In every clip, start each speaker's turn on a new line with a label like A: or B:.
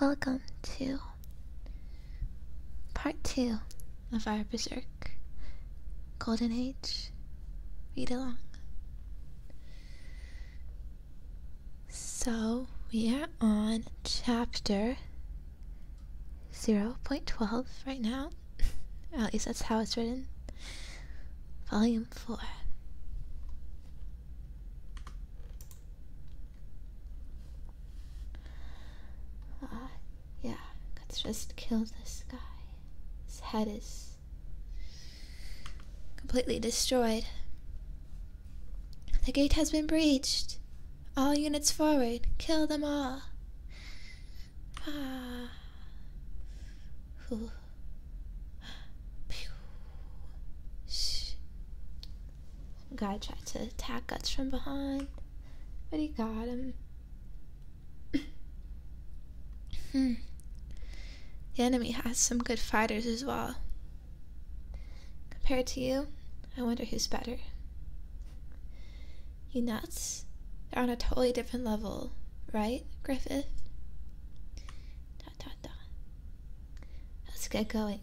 A: Welcome to part two of our Berserk Golden Age read along. So we are on chapter 0.12 right now. At least that's how it's written. Volume 4. Ah, yeah, let's just kill this guy. His head is completely destroyed. The gate has been breached. All units forward. Kill them all. Ah guy tried to attack us from behind, but he got him. Um, hmm. The enemy has some good fighters as well. Compared to you, I wonder who's better. You nuts? They're on a totally different level, right, Griffith? Dot dot dot. Let's get going.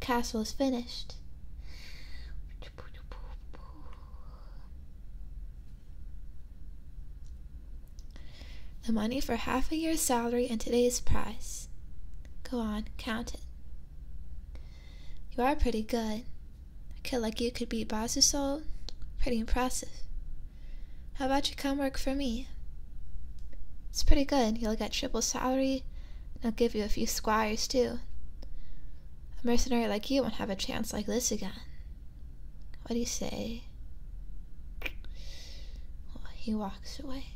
A: Castle is finished. The money for half a year's salary and today's price. Go on, count it. You are pretty good. I feel like you could beat Basusol. Pretty impressive. How about you come work for me? It's pretty good. You'll get triple salary, and I'll give you a few squires too. A mercenary like you won't have a chance like this again. What do you say? he walks away,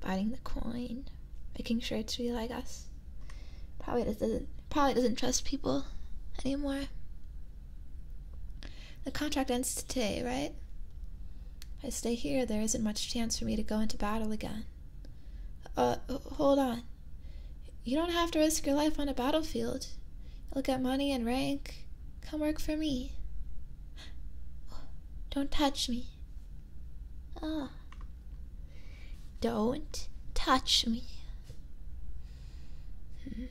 A: biting the coin, making sure it's real, I guess. Probably doesn't probably doesn't trust people anymore. The contract ends today, right? If I stay here, there isn't much chance for me to go into battle again. Uh, hold on. You don't have to risk your life on a battlefield. You'll get money and rank. Come work for me. Don't touch me. Ah. Don't touch me. Hmm.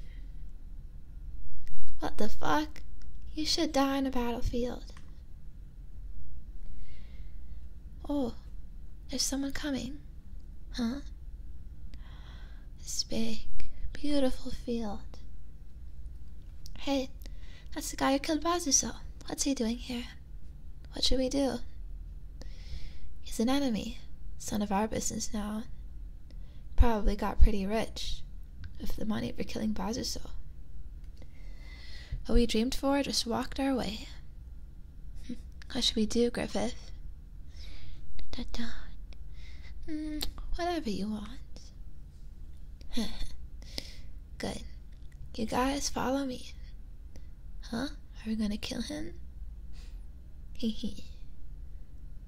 A: What the fuck? You should die on a battlefield. Oh, there's someone coming. Huh? This big, beautiful field. Hey, that's the guy who killed Bazuso. What's he doing here? What should we do? He's an enemy. Son of our business now probably got pretty rich with the money for killing Bazuso. What we dreamed for just walked our way. What should we do, Griffith? Mm, whatever you want. Good. You guys follow me. Huh? Are we gonna kill him? Hee hee.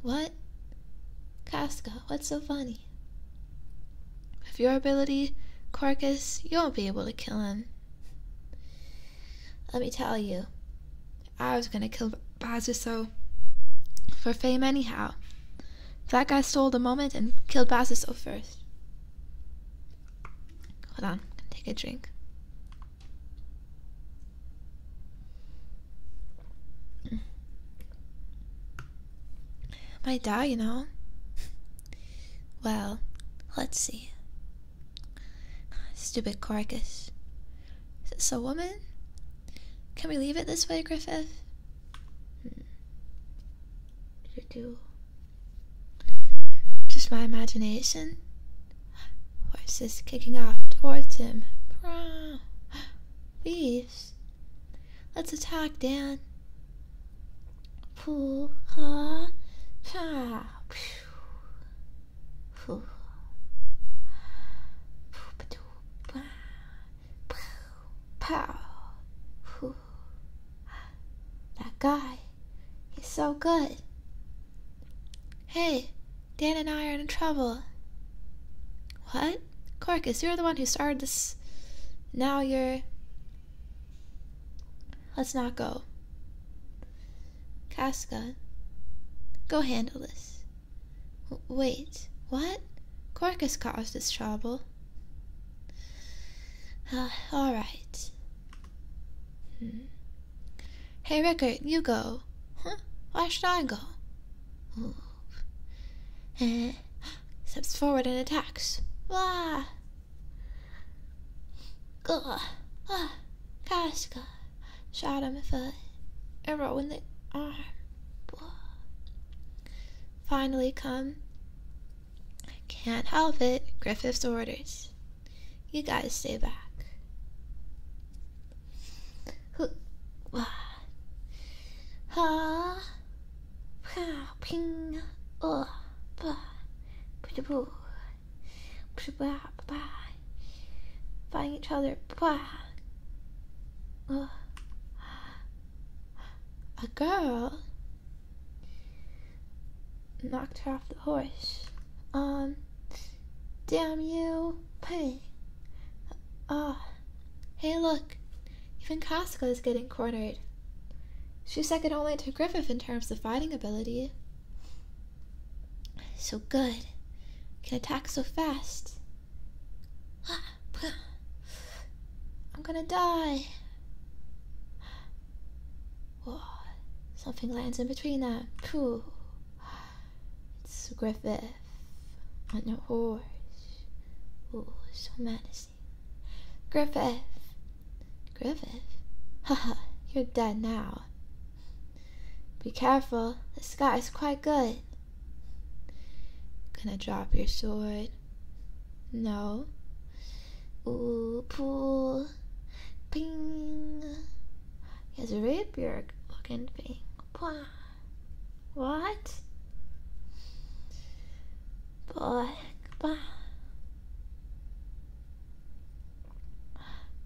A: What? Casca, what's so funny? me. With your ability, Carcass, you won't be able to kill him. Let me tell you, I was gonna kill Bazuso for fame anyhow. That guy stole the moment and killed Bazuso first. Hold on, take a drink. Might die, you know? Well, let's see. Stupid carcass. Is this a woman? Can we leave it this way, Griffith? Did it do? Just my imagination? Voices kicking off towards him. Please. Let's attack, Dan. Poo ha pa. Poo. Poo pow. Poo. That guy. He's so good. Hey, Dan and I are in trouble. What? what? Carcass, you're the one who started this. Now you're. Let's not go. Casca, go handle this. wait, what? Corcus caused this trouble. Ah, all right. Hmm. Hey, Rickard, you go. Huh? Why should I go? Hmm steps forward and attacks. Wah! Gah! Ah! Casca! Shot him with a arrow in the arm. Wah. Finally come. I can't help it. Griffith's orders. You guys stay back ha ha ping oh ba ba ba ba ba fighting each other ba uh. a girl knocked her off the horse um damn you pig Ah, hey, look, even Casca is getting cornered. She's second only to Griffith in terms of fighting ability. So good, can attack so fast. I'm gonna die. Whoa. Something lands in between them. It's Griffith on a horse. oh, so menacing. Griffith! Griffith? Haha, you're dead now. Be careful, the sky's quite good. Gonna drop your sword. No. Ooh, pool. Ping. He has a rapier looking ping, Pwah. What? Black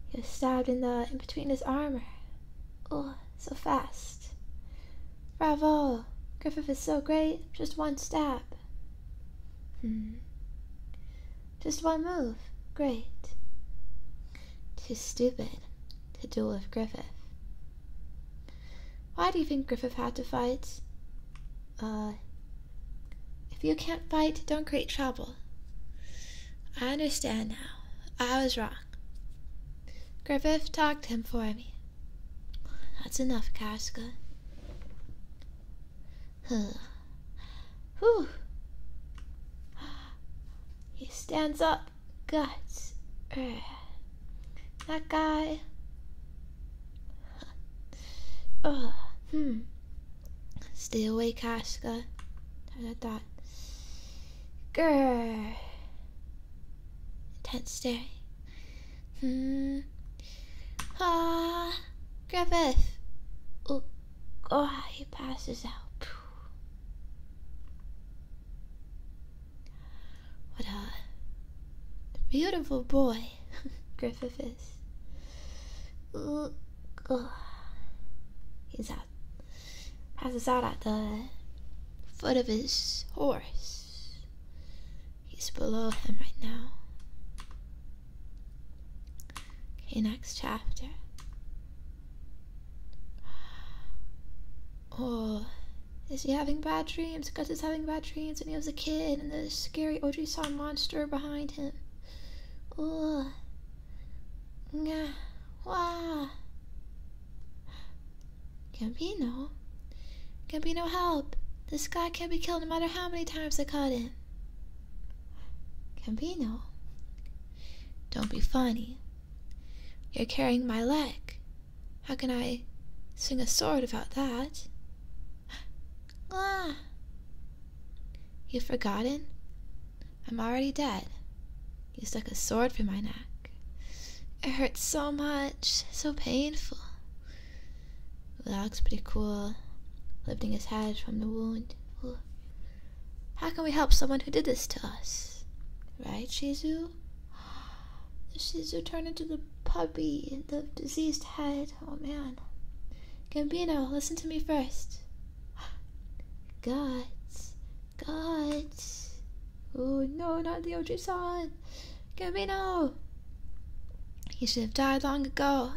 A: He was stabbed in the in between his armor. Oh, so fast. Bravo! Griffith is so great, just one stab. Hmm. Just one move. Great. Too stupid to duel with Griffith. Why do you think Griffith had to fight? Uh, if you can't fight, don't create trouble. I understand now. I was wrong. Griffith talked him for me. That's enough, Casca. Huh. Whew. He stands up guts. Er, that guy. Oh, hmm. Stay away, Casca. Dot dot Grr. Intense staring. Hmm. Ah, Griffith. Oh, oh, he passes out. What a beautiful boy Griffith is. Ugh. Oh, he's out. Passes out at the foot of his horse. He's below him right now. Okay, next chapter. Oh, is he having bad dreams? Because he's having bad dreams when he was a kid and the scary Audrey saw monster behind him. Oh. Nga. Wah. Gambino? Gambino, help! This guy can't be killed no matter how many times I cut him. Gambino? Don't be funny. You're carrying my leg. How can I swing a sword about that? Ah! You've forgotten? I'm already dead. You stuck a sword through my neck. It hurts so much, so painful. Looks pretty cool, lifting his head from the wound. How can we help someone who did this to us? Right, Shizu? She's turned to the puppy, the diseased head. Oh man. Gambino, listen to me first. Gods, gods! Oh no, not the old son. Gambino! He should have died long ago.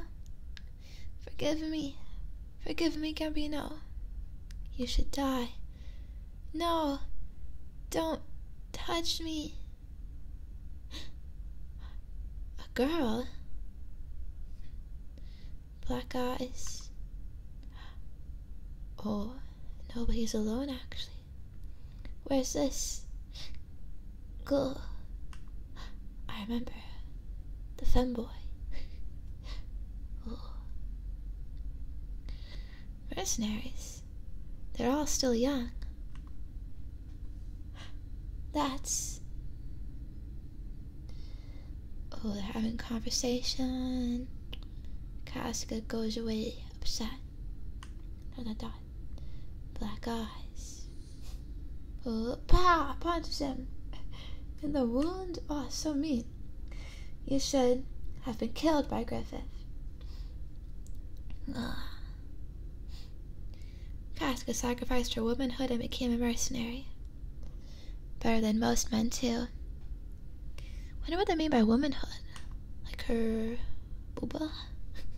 A: Forgive me. Forgive me, Gambino. You should die. No, don't touch me. A girl? Black eyes. Oh, nobody's alone actually. Where's this? Girl. I remember. The femboy. oh. Mercenaries. They're all still young. That's. Oh, they're having conversation. Casca goes away upset. Dot dot dot. Black eyes. Oh, pa Punches him. And the wound. Oh, so mean. You should have been killed by Griffith. Ah, Casca sacrificed her womanhood and became a mercenary. Better than most men, too. Wonder what they mean by womanhood. Like her booba?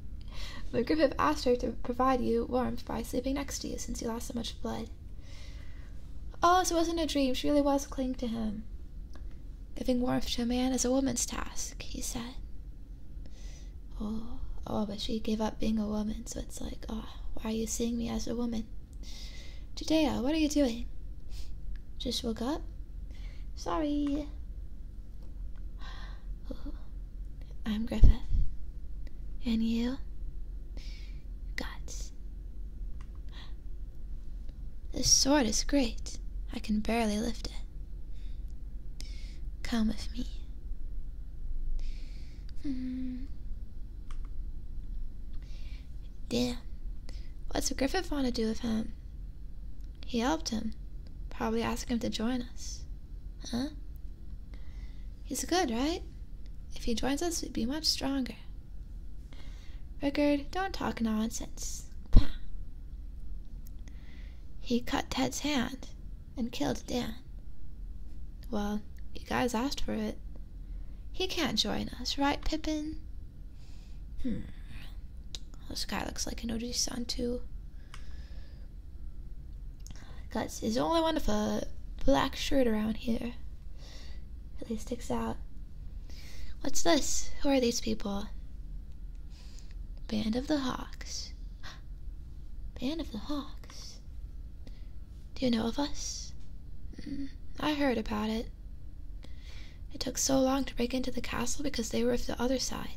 A: but Griffith asked her to provide you warmth by sleeping next to you since you lost so much blood. Oh, so it wasn't a dream. She really was clinging to him. Giving warmth to a man is a woman's task, he said. Oh, oh, but she gave up being a woman, so it's like, oh, why are you seeing me as a woman? Judea, what are you doing? Just woke up? Sorry. Oh, I'm Griffith. And you? Guts. This sword is great. I can barely lift it. Come with me. Hmm. Damn. What's Griffith want to do with him? He helped him. Probably asked him to join us. Huh? He's good, right? If he joins us, we'd be much stronger. Rickard, don't talk nonsense. Pah. He cut Ted's hand and killed Dan. Well, you guys asked for it. He can't join us, right, Pippin? Hmm. This guy looks like an OG son, too. Guts is the only one with a black shirt around here really sticks out. What's this? Who are these people? Band of the Hawks. Band of the Hawks. Do you know of us? Mm, I heard about it. It took so long to break into the castle because they were of the other side.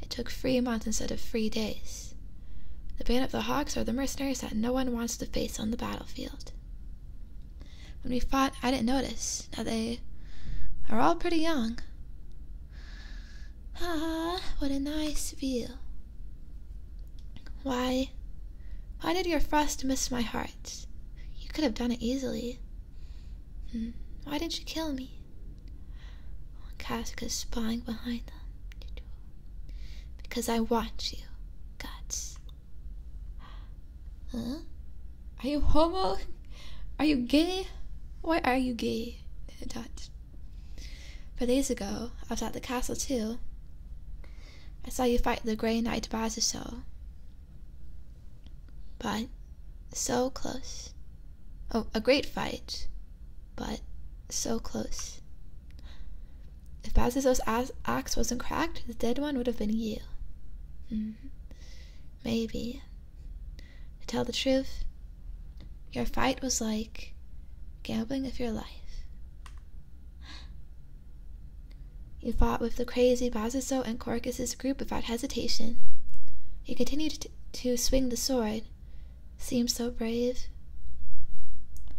A: It took three months instead of three days. The Band of the Hawks are the mercenaries that no one wants to face on the battlefield. When we fought, I didn't notice. that they are all pretty young. Ah, what a nice view. Why, why did your frost miss my heart? You could have done it easily. Hmm, why didn't you kill me? Casca is spying behind them. Because I watch you, guts. Huh? Are you homo? Are you gay? Why are you gay? Dot. Four days ago, I was at the castle too. I saw you fight the Grey Knight Bazuso. But so close. Oh, a great fight, but so close. If Bazuso's axe wasn't cracked, the dead one would have been you. Hmm. Maybe. To tell the truth, your fight was like gambling of your life. You fought with the crazy Bazuso and Corcus's group without hesitation. You continued to swing the sword. Seemed so brave.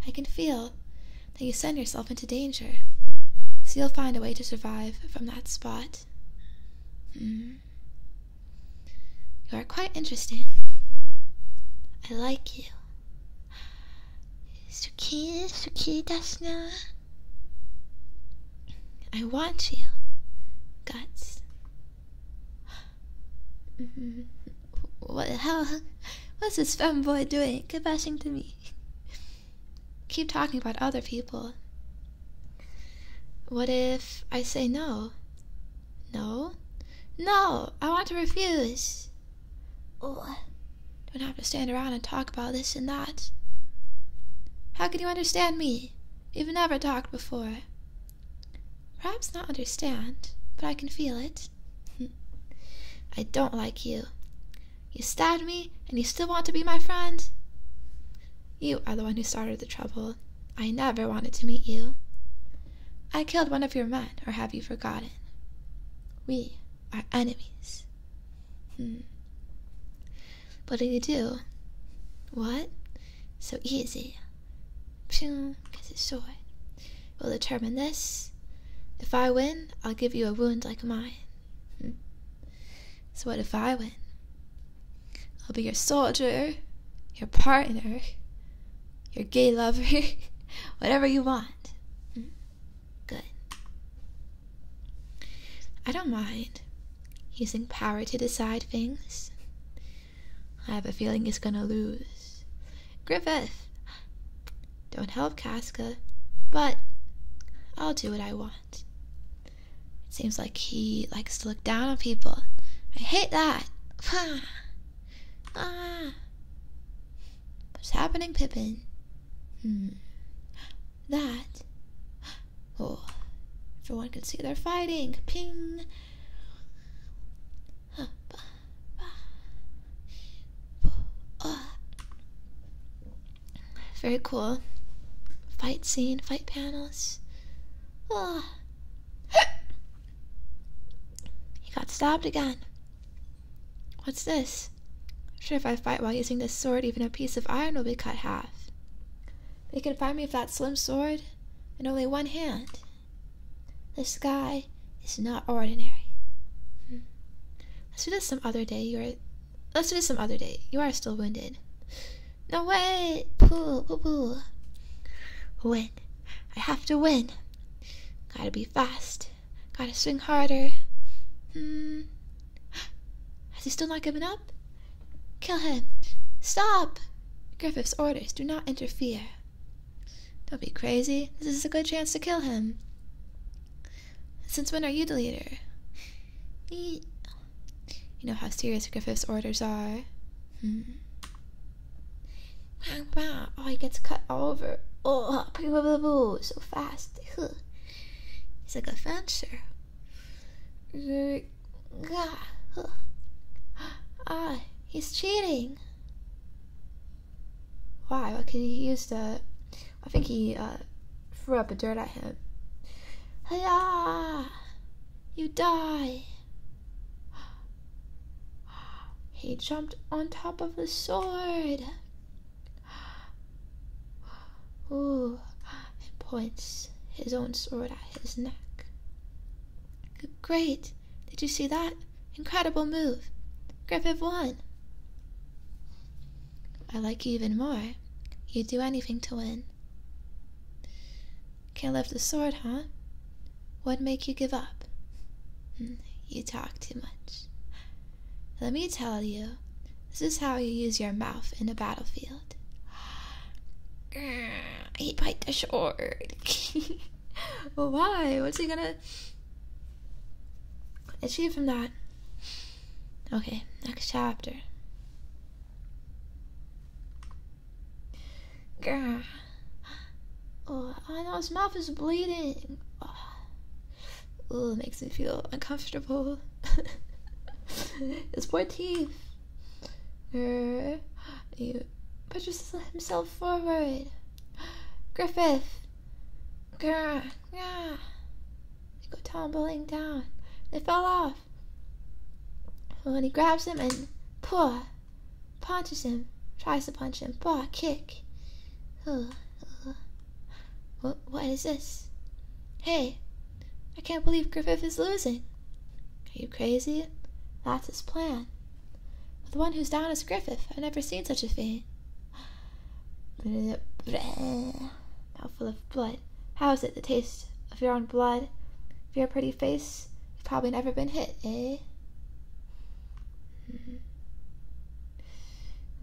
A: I can feel that you send yourself into danger, so you'll find a way to survive from that spot. Hmm. You are quite interesting. I like you. Suki, Suki Dasna. I want you. Guts. what? the hell? What's this boy doing? Keep to me keep talking about other people. What if I say no? No? No! I want to refuse! Oh, Don't have to stand around and talk about this and that. How can you understand me? You've never talked before. Perhaps not understand, but I can feel it. I don't like you. You stabbed me, and you still want to be my friend? You are the one who started the trouble. I never wanted to meet you. I killed one of your men, or have you forgotten? We are enemies. Hmm. What do you do? What? So easy. Pshing, kiss his sword. We'll determine this. If I win, I'll give you a wound like mine. Hmm? So, what if I win? I'll be your soldier, your partner, your gay lover, whatever you want. Hmm? Good. I don't mind using power to decide things. I have a feeling he's gonna lose. Griffith! Don't help Casca, but I'll do what I want. It seems like he likes to look down on people. I hate that. ah. What's happening, Pippin? Hmm. That. Oh. Everyone can see they're fighting. Ping. Very cool. Fight scene, fight panels. Oh. he got stabbed again. What's this? Sure, if I fight while using this sword, even a piece of iron will be cut half. They can find me with that slim sword in only one hand. This guy is not ordinary. Hmm. Let's do this some other day. You're Let's do this some other day. You are still wounded. No way! Poo, poo, poo. Win. I have to win. Gotta be fast. Gotta swing harder. Hmm. Has he still not given up? Kill him. Stop! Griffith's orders do not interfere. Don't be crazy. This is a good chance to kill him. Since when are you the leader? You know how serious Griffith's orders are. Wow, hmm. oh, he gets cut all over. Oh, so fast. He's like a fencer. Ah, he's cheating. Why? Why could he use the I think he uh, threw up a dirt at him. Hiya! You die! He jumped on top of the sword. Ooh, and points his own sword at his neck. Great! Did you see that? Incredible move! Griffith won! I like you even more. You'd do anything to win. Can't lift the sword, huh? What'd make you give up? Hmm, you talk too much. Let me tell you, this is how you use your mouth in a battlefield. He bite the sword. Why? What's he gonna achieve from that? Okay, next chapter. Grr. Oh, I know his mouth is bleeding. Oh, it makes me feel uncomfortable. his poor teeth. Grr. He pushes himself forward. Griffith. Grr, grr. They go tumbling down. They fell off. And when he grabs him and pull, punches him, tries to punch him, paw, kick. Ugh, what is this? Hey, I can't believe Griffith is losing. Are you crazy? That's his plan. But the one who's down is Griffith. I've never seen such a thing. Mouthful of blood. How is it the taste of your own blood? If your pretty face, you've probably never been hit, eh? Hmm.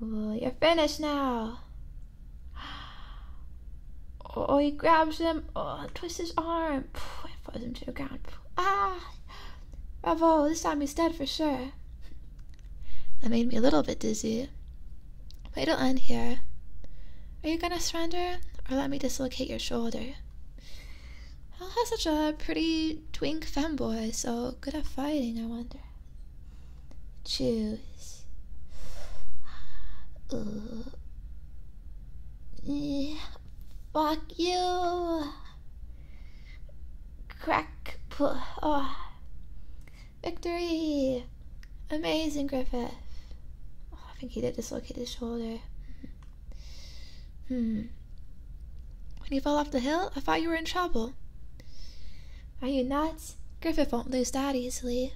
A: Well, you're finished now. Oh, he grabs him, oh, twists his arm, and throws him to the ground. Ah! Bravo, this time he's dead for sure. That made me a little bit dizzy. But it'll end here. Are you gonna surrender or let me dislocate your shoulder? Hal has such a pretty twink fanboy so good at fighting, I wonder. Choose. Fuck you! Crack. Victory! Amazing, Griffith. Oh, I think he did dislocate his shoulder. Hmm. When you fell off the hill, I thought you were in trouble. Are you nuts? Griffith won't lose that easily.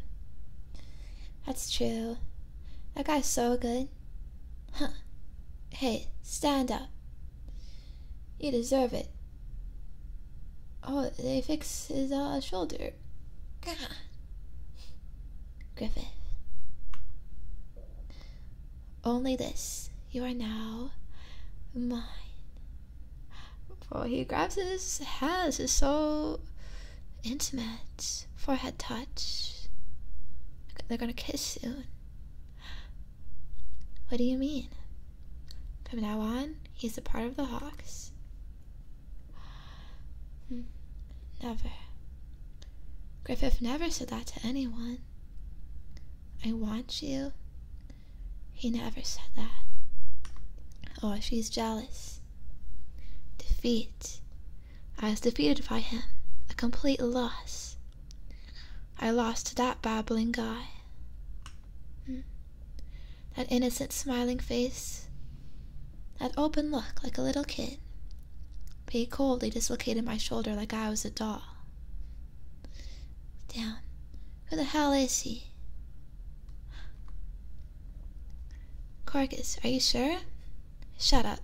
A: That's true. That guy's so good. Huh. Hey, stand up. You deserve it. Oh, they fix his uh, shoulder. God. Griffith. Only this. You are now mine. Before he grabs his hands, is so intimate. Forehead touch. They're gonna kiss soon. What do you mean? From now on, He's a part of the Hawks. Hmm. Never. Griffith never said that to anyone. I want you. He never said that. Oh, she's jealous. Defeat. I was defeated by him. A complete loss. I lost to that babbling guy. Hmm. That innocent smiling face, that open look like a little kid, but he coldly dislocated my shoulder like I was a doll. Damn, who the hell is he? Corcus, are you sure? Shut up.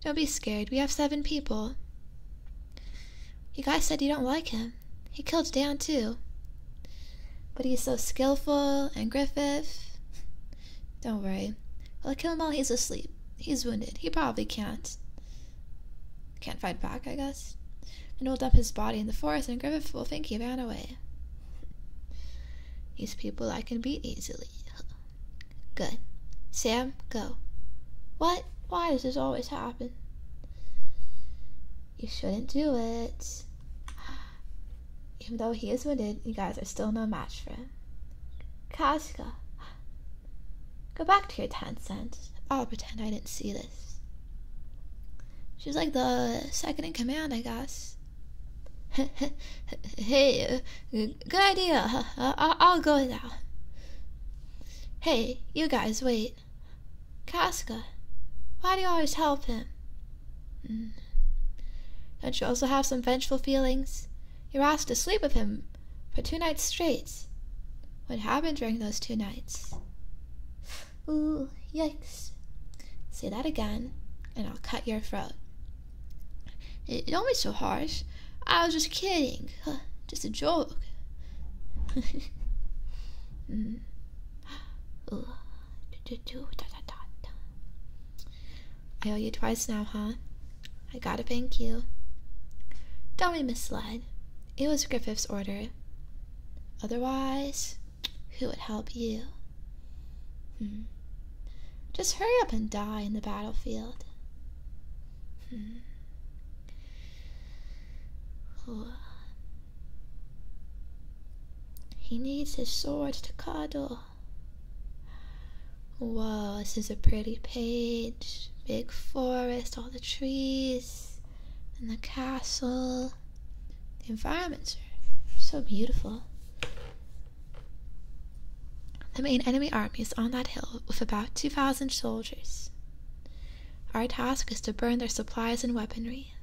A: Don't be scared. We have seven people. You guys said you don't like him. He killed Dan too. But he's so skillful and Griffith. Don't worry. I'll kill him while he's asleep. He's wounded. He probably can't. Can't fight back, I guess. And we'll dump his body in the forest and Griffith will think he ran away. These people I can beat easily. Good. Sam, go. What? Why does this always happen? You shouldn't do it. Even though he is wounded, you guys are still no match for him. Kasuga, go back to your ten cents. I'll pretend I didn't see this. She's like the second in command, I guess. hey, good idea. I- will go now. Hey, you guys, wait. Casca, why do you always help him? Mm. Don't you also have some vengeful feelings? You are asked to sleep with him for two nights straight. What happened during those two nights? Ooh, yikes. Say that again, and I'll cut your throat. It, don't be so harsh. I was just kidding. Just a joke. Mm. I owe you twice now, huh? I gotta thank you. Don't be misled. It was Griffith's order. Otherwise, who would help you? Hmm. Just hurry up and die in the battlefield. Hmm. He needs his sword to cuddle. Wow, this is a pretty page. Big forest, all the trees, and the castle. The environments are so beautiful. The main enemy army is on that hill with about 2,000 soldiers. Our task is to burn their supplies and weaponry.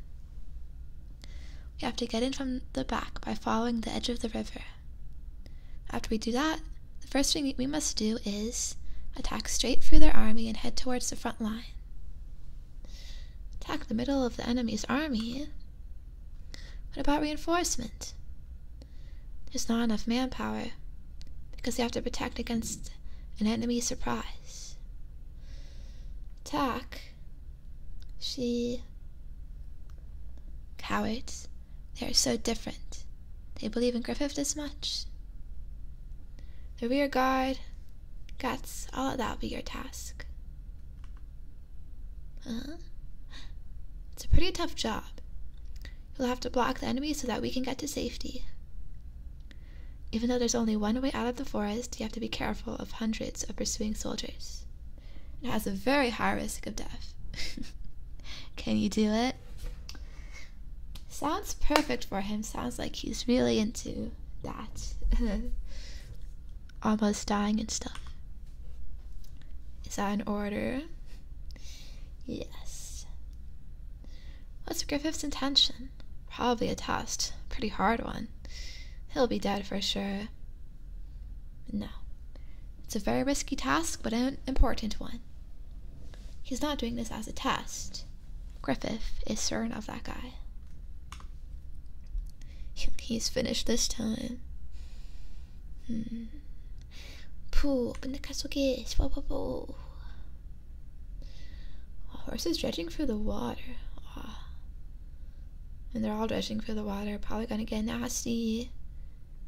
A: We have to get in from the back by following the edge of the river. After we do that, the first thing we must do is attack straight through their army and head towards the front line. Attack the middle of the enemy's army? What about reinforcement? There's not enough manpower because they have to protect against an enemy surprise. Tak, she, cowards, they are so different. They believe in Griffith as much. The rear guard, guts, all that'll be your task. Huh? It's a pretty tough job. You'll have to block the enemy so that we can get to safety. Even though there's only one way out of the forest, you have to be careful of hundreds of pursuing soldiers. It has a very high risk of death. Can you do it? Sounds perfect for him. Sounds like he's really into that. Almost dying and stuff. Is that an order? Yes. What's Griffith's intention? Probably a test. Pretty hard one. He'll be dead for sure. No. It's a very risky task, but an important one. He's not doing this as a test. Griffith is certain of that guy. He's finished this time. Hmm. Oh, horses dredging for the water. Oh. And they're all dredging for the water. Probably gonna get nasty.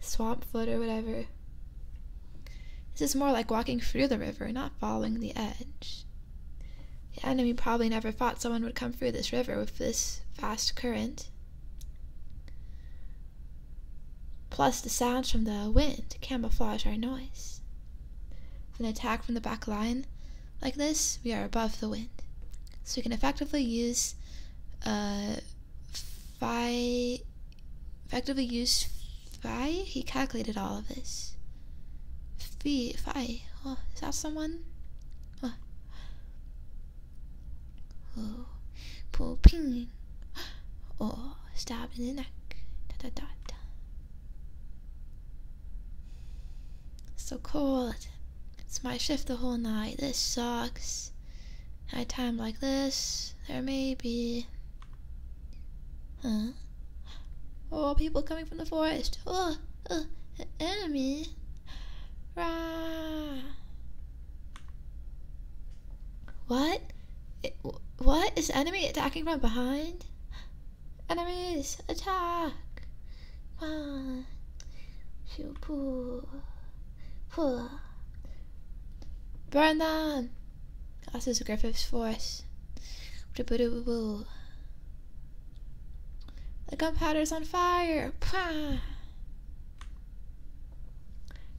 A: Swamp foot or whatever. This is more like walking through the river, not following the edge. The enemy probably never thought someone would come through this river with this fast current. Plus, the sounds from the wind camouflage our noise. With an attack from the back line, like this, we are above the wind. So we can effectively use uh, phi, effectively use phi. He calculated all of this. Phi, phi. Oh, is that someone? Oh. pull ping. Oh, stab in the neck. Dot dot dot. So cold. It's my shift the whole night. This sucks. At a time like this, there may be. Huh? Oh, people coming from the forest. Oh, uh, enemy. Rah. What? what? Is enemy attacking from behind? Enemies, attack! Run! You pull, pull. Burn them! That is Griffith's force. The gunpowder's on fire! Pah!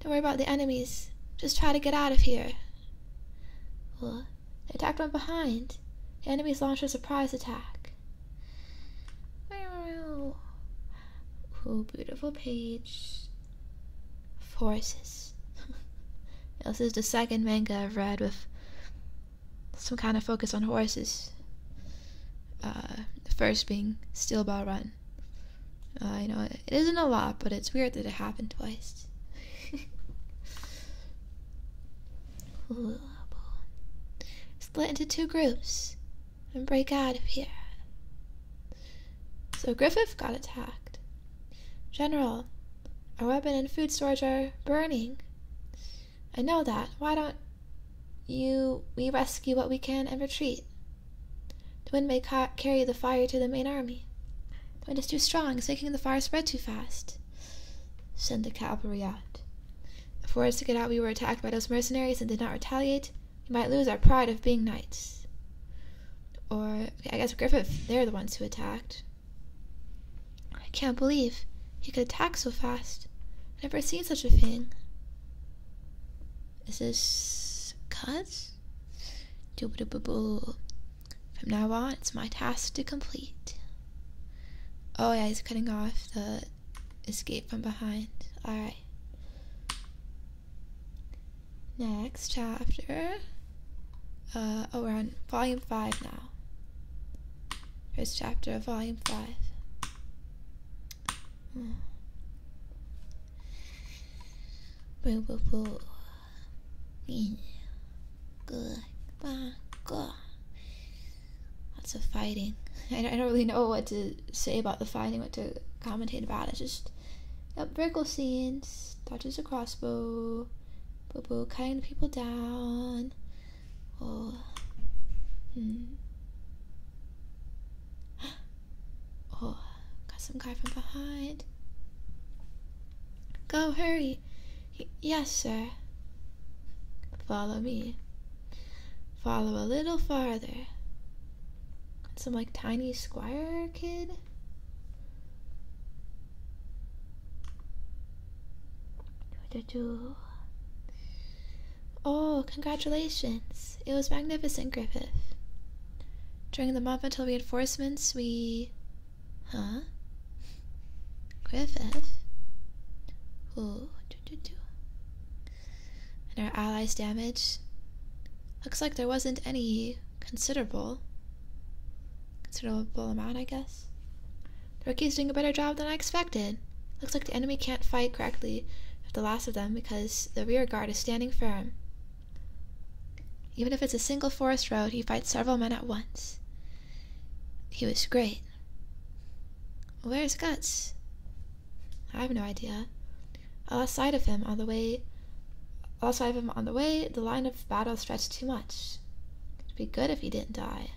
A: Don't worry about the enemies. Just try to get out of here. Well, they attacked from behind. The enemies launched a surprise attack. Oh, beautiful page. Horses. this is the second manga I've read with some kind of focus on horses. Uh, the first being Steel Ball Run. Uh, you know, it isn't a lot, but it's weird that it happened twice. Split into two groups and break out of here. So Griffith got attacked. General, our weapon and food storage are burning. I know that. Why don't you we rescue what we can and retreat? The wind may carry the fire to the main army. The wind is too strong, it's making the fire spread too fast. Send the cavalry out. If we were to get out, we were attacked by those mercenaries and did not retaliate. We might lose our pride of being knights. Or, I guess Griffith, they're the ones who attacked. I can't believe he could attack so fast. I've never seen such a thing. Is this cut? Doo -ba from now on, it's my task to complete. Oh, yeah, he's cutting off the escape from behind. Alright. Next chapter. Uh, oh, we're on volume 5 now. First chapter of volume 5. Hmm good, bye, Lots of fighting. I don't, really know what to say about the fighting, what to commentate about. I just, yep, vertical scenes, dodges a crossbow, people boo cutting people down. Oh, hmm. Oh, got some guy from behind. Go hurry. yes, sir. Follow me. Follow a little farther. Some like tiny squire kid. Oh, congratulations. It was magnificent, Griffith. During the month until reinforcements, we Huh? Griffith? Who? And our allies' damage? Looks like there wasn't any considerable. Considerable amount, I guess. The rookie's doing a better job than I expected. Looks like the enemy can't fight correctly with the last of them because the rear guard is standing firm. Even if it's a single forest road, he fights several men at once. He was great. Where's Guts? I have no idea. I lost sight of him on the way. Also, I have him on the way. The line of battle stretched too much. It'd be good if he didn't die.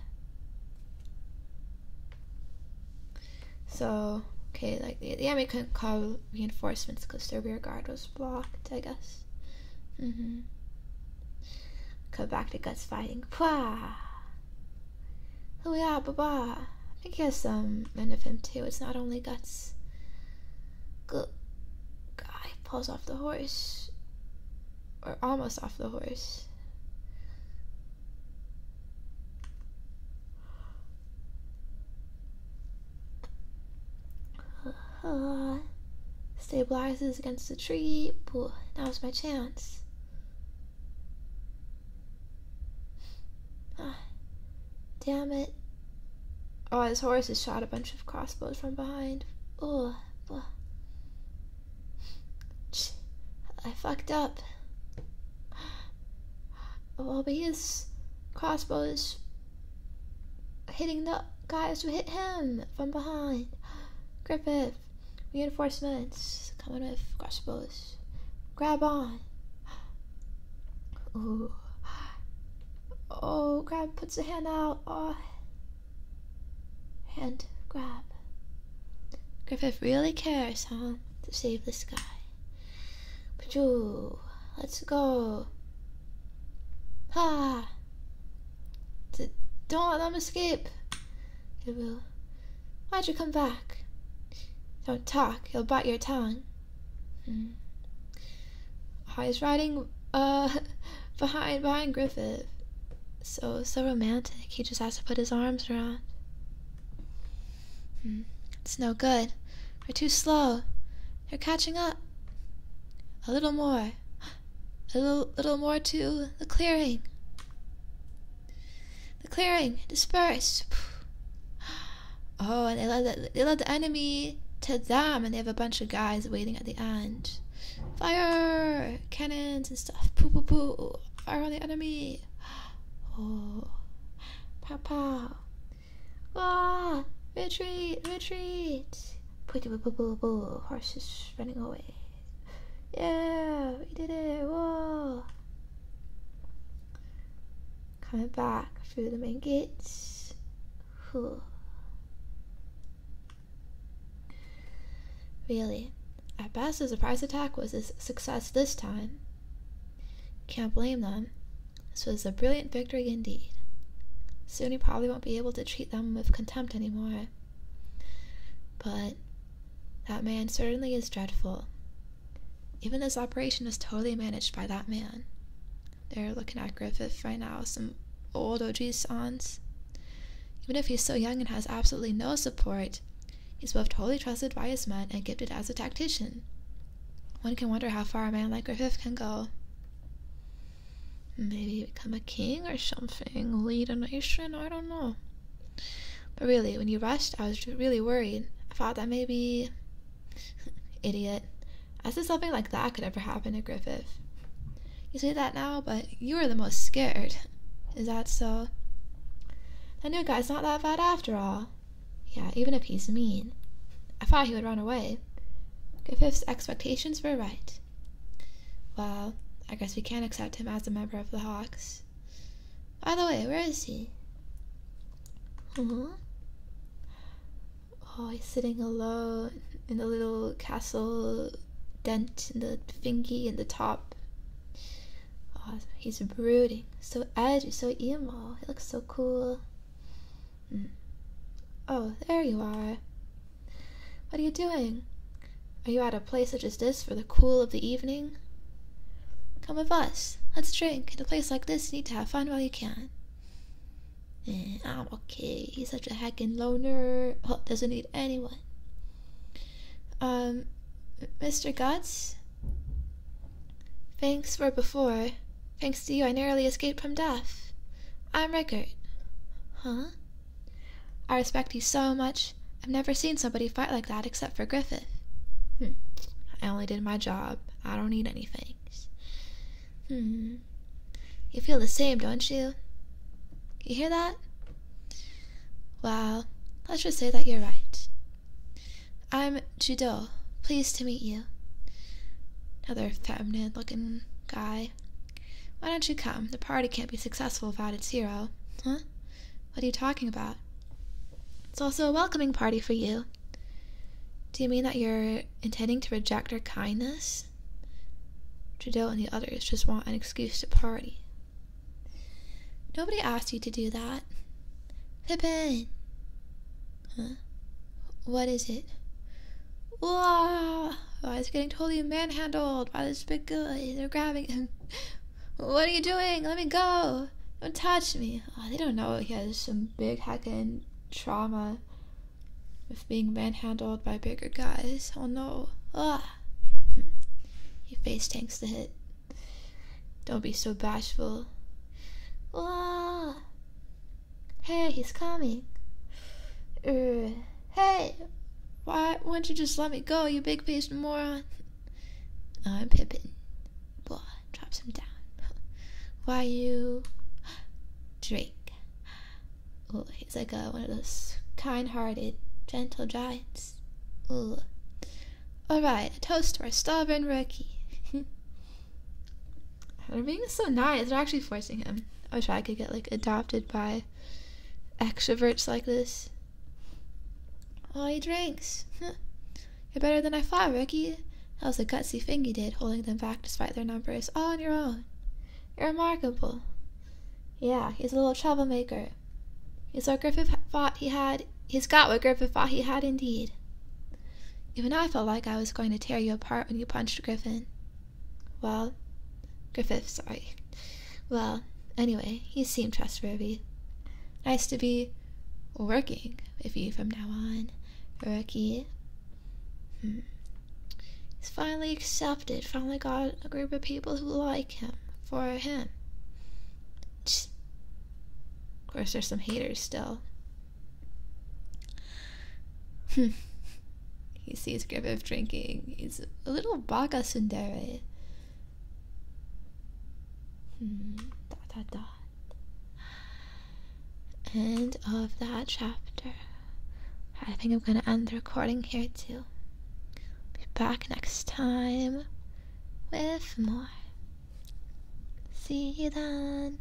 A: So, okay, like the, the army couldn't call reinforcements because their rear guard was blocked, I guess. Mm-hmm. Come back to guts fighting. Pwah! Oh yeah, baba. I guess um end of him too. It's not only guts. guy falls off the horse, or almost off the horse. Uh, stabilizes against the tree. Ooh, now's my chance. Ah, damn it. Oh, his horse has shot a bunch of crossbows from behind. Oh, I fucked up. Oh, but his crossbow hitting the guys who hit him from behind. Griffith, reinforcements coming with crossbows. Grab on. Ooh. Oh, grab puts a hand out. Oh. Hand grab. Griffith really cares, huh? To save the sky. But Pajoo, let's go. Ha! Ah. Don't let them escape. Gabu. Why'd you come back? Don't talk, he'll bite your tongue. Hmm. I was riding uh, behind behind Griffith. So so romantic. He just has to put his arms around. Hmm. It's no good. We're too slow. They're catching up. A little more a little, more to the clearing. The clearing dispersed. Oh, and they let the, enemy to them, and they have a bunch of guys waiting at the end. Fire, cannons and stuff. Poo poo poo. Fire on the enemy. Oh, pow pow. Ah, retreat, retreat. Horse is running away. Yeah, we did it. Whoa. Coming back through the main gates. Whew. Really, at best, the surprise attack was a success this time. Can't blame them. This was a brilliant victory indeed soon he probably won't be able to treat them with contempt anymore. But that man certainly is dreadful. Even this operation is totally managed by that man. They're looking at Griffith right now, some old OG sons. Even if he's so young and has absolutely no support, he's both wholly trusted by his men and gifted as a tactician. One can wonder how far a man like Griffith can go. Maybe become a king or something, lead a nation, I don't know. But really, when you rushed, I was really worried. I thought that maybe. idiot. I said something like that could ever happen to Griffith. You see that now, but you were the most scared. Is that so? I knew guy's not that bad after all. Yeah, even if he's mean. I thought he would run away. Griffith's expectations were right. Well, I guess we can't accept him as a member of the Hawks. By the way, where is he? Huh? Oh, he's sitting alone in the little castle dent in the thingy in the top. Oh, he's brooding, so edgy, so emo. He looks so cool. Mm. Oh, there you are. What are you doing? Are you at a place such as this for the cool of the evening? Come with us. Let's drink. In a place like this, you need to have fun while you can. Eh, I'm okay. He's such a heckin' loner. Oh, doesn't need anyone. Um, Mr. Guts? Thanks for before. Thanks to you, I narrowly escaped from death. I'm Rickert. Huh? I respect you so much. I've never seen somebody fight like that except for Griffith. Hmm. I only did my job. I don't need any thanks. Hmm. You feel the same, don't you? You hear that? Well, let's just say that you're right. I'm Judo. Pleased to meet you. Another feminine looking guy. Why don't you come? The party can't be successful without its hero. Huh? What are you talking about? It's also a welcoming party for you. Do you mean that you're intending to reject our kindness? Trudeau and the others just want an excuse to party. Nobody asked you to do that. Pippin! Huh? What is it? Why oh, is he getting totally manhandled by this big guy. They're grabbing him. What are you doing? Let me go! Don't touch me! Oh, they don't know he has some big heckin' trauma with being manhandled by bigger guys. Oh no. Ah. He face tanks the hit. Don't be so bashful. Ah. Hey, he's coming. Uh, hey, why do not you just let me go, you big faced moron? I'm Pippin. Boy, drops him down. Why you drink? Oh, he's like one of those kind hearted, gentle giants. Ugh. Alright, a toast for our stubborn rookie. They're being so nice. They're actually forcing him. I wish I could get like adopted by extroverts like this. Oh, he drinks. You're better than I thought, Ricky. That was a gutsy thing you did, holding them back despite their numbers, all on your own. You're remarkable. Yeah, he's a little troublemaker. got what Griffin thought he had. He's got what Griffin thought he had indeed. Even I felt like I was going to tear you apart when you punched Griffin. Well, Griffith, sorry. Well, anyway, he seemed trustworthy. Nice to be working with you from now on, rookie. Hmm. He's finally accepted, finally got a group of people who like him for him. Of course, there's some haters still. Hmm. he sees Griffith drinking. He's a little baga tsundere. Hmm, dot, dot, End of that chapter. I think I'm gonna end the recording here too. Be back next time with more. See you then.